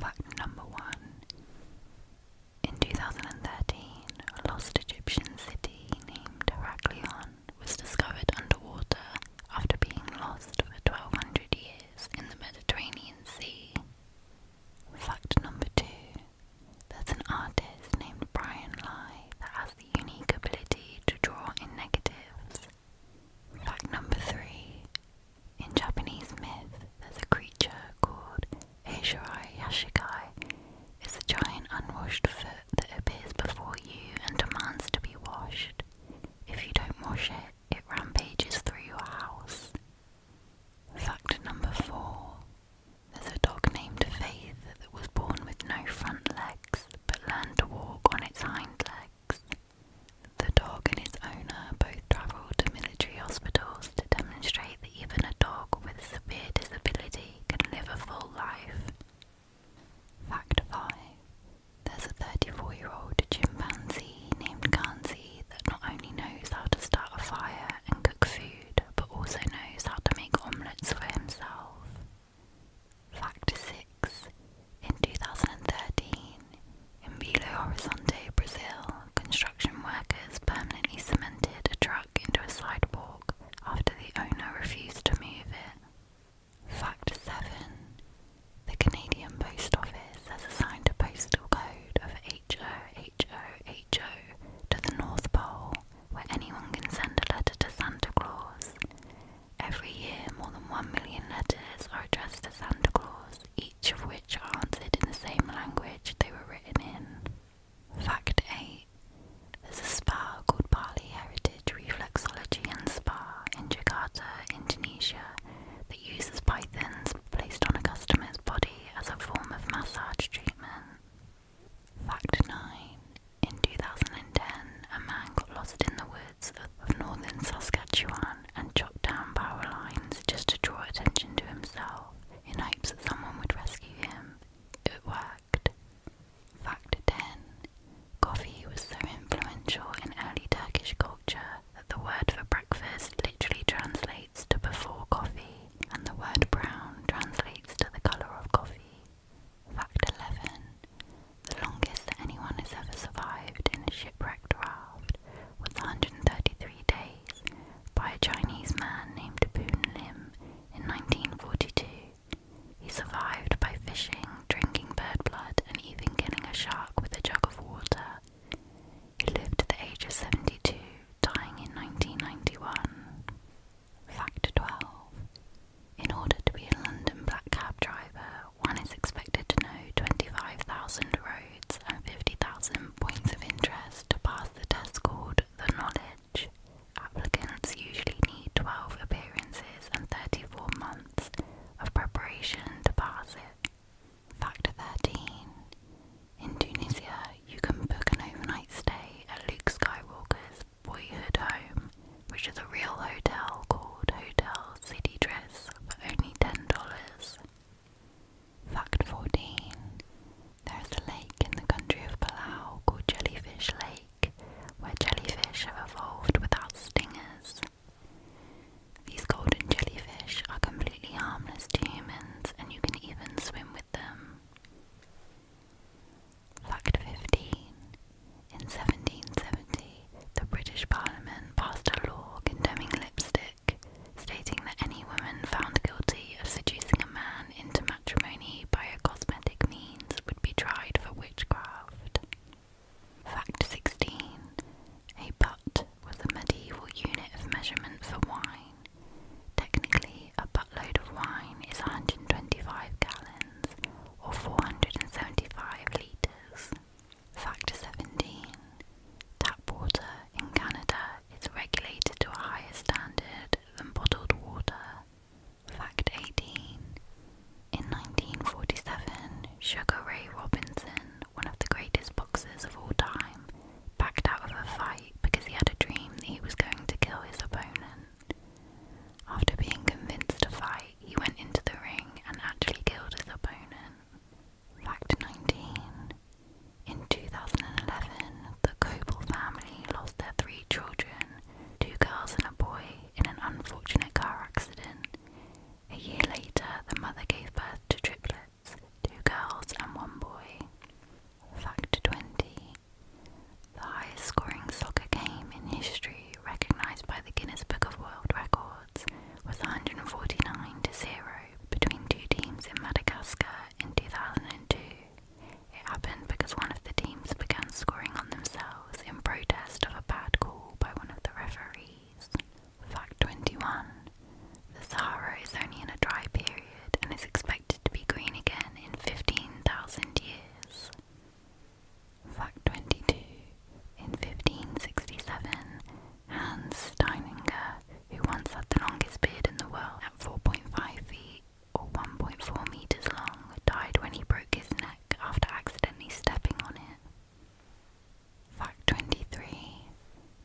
Fact number one In 2013, a lost Egyptian city named Heraklion was discovered underwater after being lost for 1200 years in the Mediterranean Sea. Fact number two There's an artist named Brian Lai that has the unique ability to draw in negatives. Fact number three. In Japanese myth, there's a creature called Eishirai Yashikai. It's a giant unwashed foot that appears before you and demands to be washed. If you don't wash it, it rampages through your house. Fact number four. There's a dog named Faith that was born with no front legs but learned to walk on its hind legs. The dog and its owner both travelled to military hospitals to demonstrate that even a dog with severe disability can live a full life. Fact 5. There's a 34 year old chimpanzee named Kanzi that not only knows how to start a fire and cook food, but also knows how to make omelettes for himself. Fact 6. In 2013, in Belo Horizonte, Brazil, construction workers permanently cemented a truck into a sidewalk after the owner refused to move it. Fact 7. The Canadian Post Office has assigned a postal code of HOHOHO to the North Pole, where anyone can send a letter to Santa Claus. Every year, more than one million letters are addressed to Santa Claus, each of which are answered in the same language they were written in. Fact 8 There's a spa called Bali Heritage Reflexology and Spa in Jakarta, Indonesia, that uses pythons placed on a customer's body as a form of massage treatment. Fact 9 in 2010, a man got lost in the woods of northern Saskatchewan and chopped down power lines just to draw attention to himself in hopes that someone would rescue him. It worked. Fact 10 Coffee was so influential in early Turkish culture that the word for breakfast literally translates to before coffee, and the word brown translates to the colour of coffee. Fact 11. The longest that anyone has ever survived in a shipwrecked raft was 133 days by a Chinese man named Boon Lim in 1942. He survived by fishing, drinking bird blood, and even killing a shark with a jug of water. He lived to the age of 72, dying in 1991. Fact 12. In order to be a London black cab driver, one is expected to know 25,000 roads and 50,000 points of interest to pass the test called The Knowledge. Applicants usually need 12 appearances and 34 months of preparation to pass it. Fact 13. In Tunisia, you can book an overnight stay at Luke Skywalker's boyhood home, which is a real hotel called Hotel City Dress for only $10. Fact 14 There is a lake in the country of Palau called Jellyfish Lake, where jellyfish have evolved without stingers. These golden jellyfish are completely harmless to humans, and you can even swim with them. Fact 15. In 1770, the British Parliament passed a law condemning lipstick, stating that any woman found guilty of seducing a man into matrimony by a cosmetic means would be tried for witchcraft. Fact 16. A butt was a medieval unit of measurement for wine, Technically, a buttload of wine is 125 gallons or 475 litres. Factor 17 Tap water in Canada is regulated to a higher standard than bottled water. Fact 18 In 1947, Sugar Ray Robinson, one of the greatest boxers of all time, backed out of a fight because he had a dream that he was going to kill his opponent. After being convinced to fight, he went into the ring and actually killed his opponent. Fact 19. In 2011, the Coble family lost their three children, two girls and a boy, in an unfortunate car accident. A year later, the mother gave birth to triplets, two girls and one boy. Fact 20 the highest scoring soccer game in history recognised by the Guinness Book of World Records was 149 to 0 between two teams in Madagascar in 2002. It happened because one of the teams began scoring on themselves in protest of a bad call by one of the referees. Fact 21. The Sahara is only in a dry period and is expected to be green again in 15,000 years. Fact 22. In 1567, Hans Steininger, who once had the longest beard in the world at 4.5 feet or 1.4 metres long, died when he broke his neck after accidentally stepping on it. Fact 23.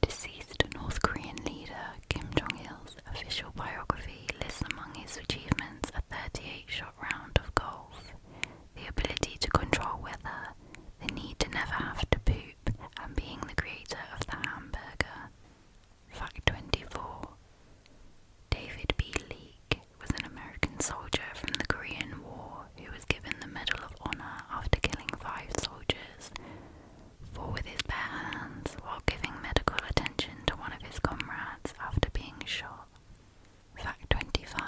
Deceased North Korean leader Kim Jong il's official biography lists among his achievements a 38 shot round of golf, the ability to control weather, the need to never have to poop, and being the creator of the hamburger. Fact 24 David B. Leake was an American soldier from the Korean War who was given the Medal of Honor after killing five soldiers for with his bare hands while giving medical attention to one of his comrades after being shot. Fact 25.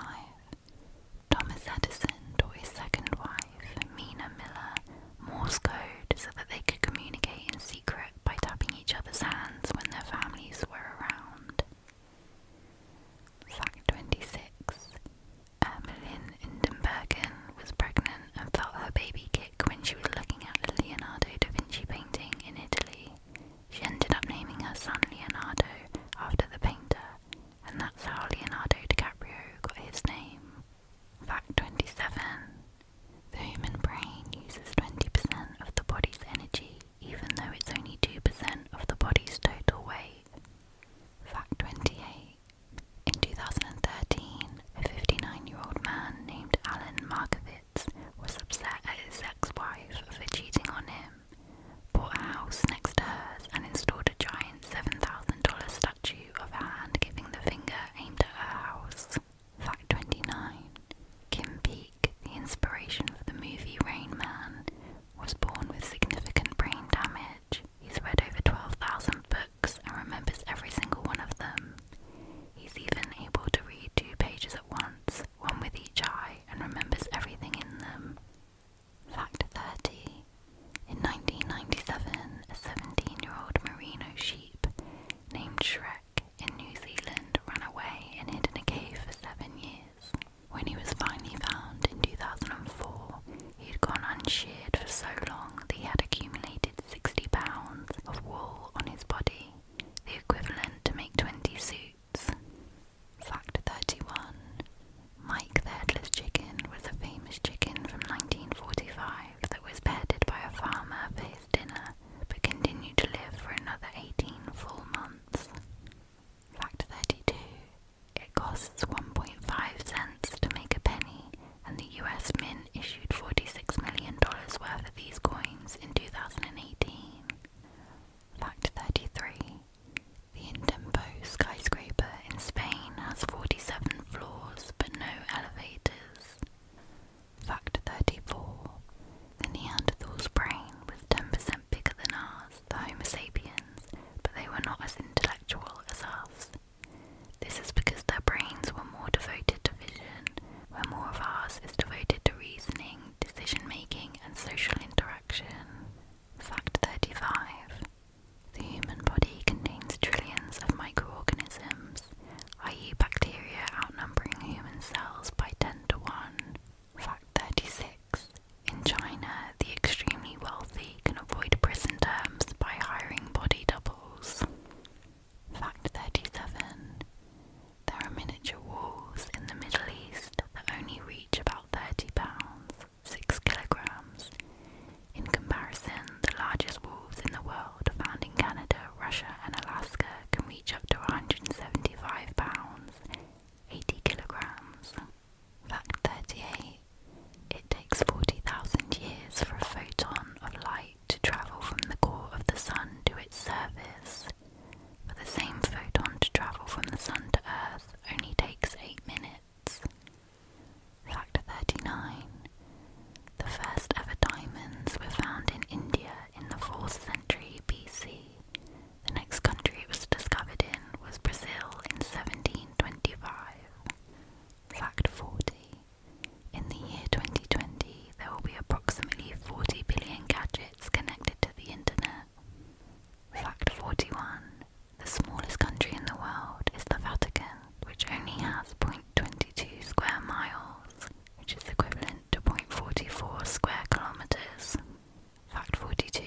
Thomas Edison taught his second wife, Mina Miller, Morse code so that they could communicate in secret by tapping each other's hands when their families were around. Fact 26. Ermelin Indenbergen was pregnant and felt her baby when she was looking at a Leonardo da Vinci painting in Italy. She ended up naming her son Leonardo after the painter, and that's how Leonardo DiCaprio got his name. Fact 27 The human brain uses 20% of the body's energy, even though it's only 2% of the body's total weight. Fact 28 in 2013, a 59 year old man named Alan Markovitz was upset at his ex wife for cheating on him, bought a house next to hers, and installed a giant $7,000 statue of a hand giving the finger aimed at her house. Fact 29 Kim Peek, the inspiration for the movie Rain Man, was born with significant brain damage. He's read over 12,000 and remembers every single one of them. He's even able to read two pages at once, one with each eye, and remembers everything in them. Fact 30. In 1997, a 17 year old merino sheep named Shrek in New Zealand ran away and hid in a cave for seven years. When he was finally found in 2004, He'd gone unsheared for so long that he had accumulated sixty pounds of wool on his body, the equivalent to make twenty suits. Fact 31. Mike the Headless Chicken was a famous chicken from 1945 that was beheaded by a farmer for his dinner but continued to live for another 18 full months. Fact 32. It costs 1.5 cents to make a penny, and the US Mint issued $46 million worth of these coins in 2018. Fact 33 The Intempo skyscraper in Spain has 47 floors but no elevators. Fact 34 The Neanderthal's brain was 10% bigger than ours the Homo sapiens, but they were not as intellectual as us. This is because their brains were more devoted to vision, where more of ours is devoted to reasoning, decision making, and social interaction. Fact 35 The human body contains trillions of microorganisms, i.e., bacteria outnumbering human cells by 10 to 1. Fact 36 in China, the extremely wealthy can avoid prison terms by hiring body doubles. Fact 37. There are miniature wolves in the Middle East that only reach about 30 pounds, 6 kilograms. In comparison, the largest wolves in the world found in Canada, Russia, and Alaska can reach up to 175 pounds, 80 kilograms. Fact 38 It takes 40,000 years for a photon of light to travel from the core of the Sun to its surface. but the same photon to travel from the Sun to Earth only takes 8 minutes. Fact 39 The first ever diamonds were found in India in the 4th century BC. The next country it was discovered in was Brazil in 1725. Fact 40. In the year 2020, there will be approximately 40 billion gadgets connected to the internet. Fact 41. The smallest country in the world is the Vatican, which only has 0.22 square miles, which is equivalent to 0.44 square kilometers. Fact 42.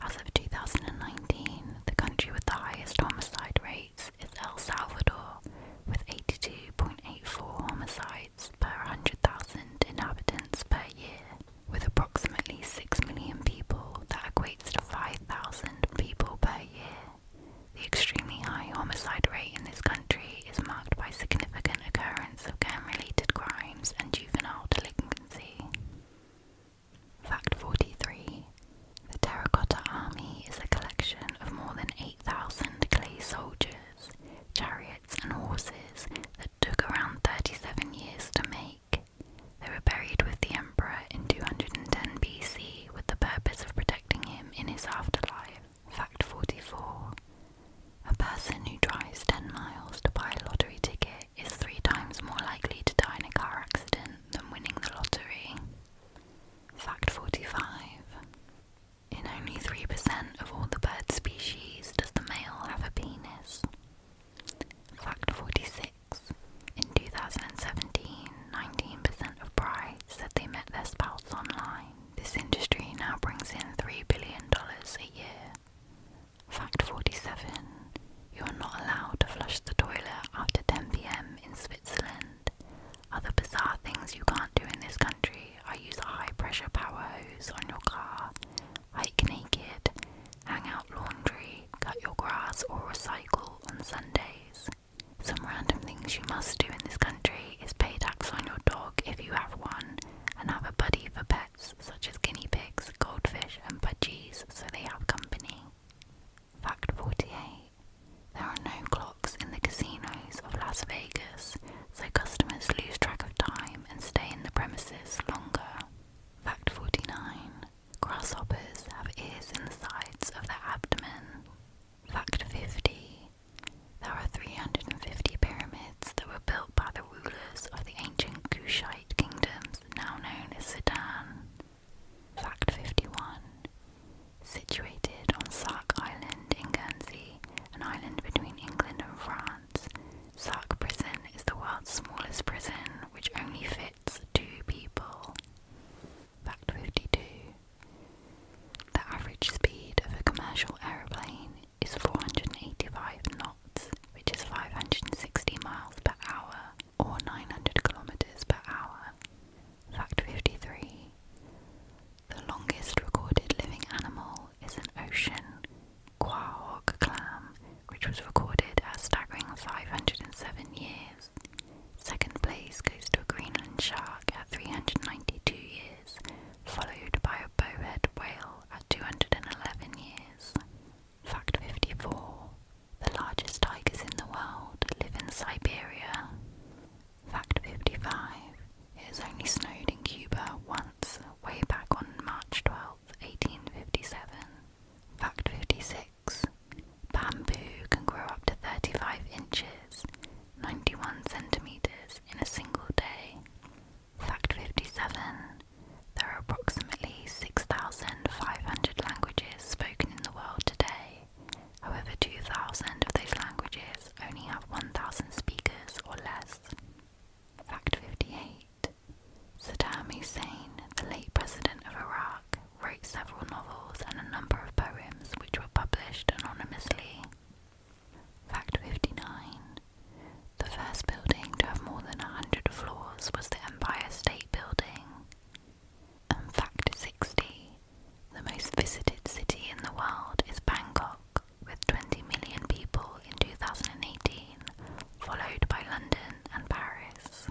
As of 2019, the country with the highest homicide rates is El Salvador, with 82.84 homicides per 100,000 inhabitants per year. With approximately 6 million people, that equates to 5,000 people per year. The extremely high homicide rate in this country is marked by significant occurrence of gang-related crimes and juvenile delinquency. Fact 43 The Terracotta Army is a collection of more than 8,000 clay soldiers, chariots, and horses that took around 37 years to make. They were buried with the emperor in 210 BC with the purpose of protecting him in his afterlife. Fact 44 a person who drives 10 miles to buy a lottery ticket is three times more likely to die in a car accident than winning the lottery. Fact 45. In only 3% of all the bird species does the male have a penis. Fact 46. In 2017, 19% of brides said they met their spouse online. This industry now brings in $3 billion a year. Fact 47 You are not allowed to flush the toilet after 10 pm in Switzerland. Other bizarre things you can't do in this country I use a high pressure power hose on your car, hike naked, hang out laundry, cut your grass, or recycle on Sundays. Some random things you must do in this country is pay tax on your dog if you have one and have a buddy for pets such as guinea pigs, goldfish, and budgies so they have company. Fact 48 There are no clocks in the casinos of Las Vegas, so customers lose track of time and stay in the premises longer. Fact 49 Grasshoppers have ears in the sides of their abdomen. Fact 50 there are 350 pyramids that were built by the rulers of the ancient Kushite kingdoms, now known as Sudan. Fact 51. Situated on Sark Island in Guernsey, an island between England and France, Sark Prison is the world's smallest prison which only fits two people. Fact 52. The average speed of a commercial aeroplane is 485 knots, which is 560 miles per hour or 900 kilometers per hour. Fact 53 The longest recorded living animal is an ocean quahog clam, which was recorded at staggering 507 years. Second place goes to a Greenland shark at 392 years followed by a bowhead whale at 211 years. Fact 54. The largest tigers in the world live in Siberia. Fact 55. It was only snowed in Cuba once, way back on March 12, 1857. Fact 56. Bamboo can grow up to 35 inches, 91 centimeters in a single day. Fact 57. There are approximately 6,500 languages spoken in the world today. However, 2,000 of those languages only have 1,000 speakers or less. Fact 58. Saddam Hussein, the late president of Iraq, wrote several novels and a number of poems which were published anonymously. Fact 59. The first building to have more than 100 floors was the Empire State Building. And fact 60. The most visited city in the world is Bangkok, with 20 million people in 2018, followed by London and Paris.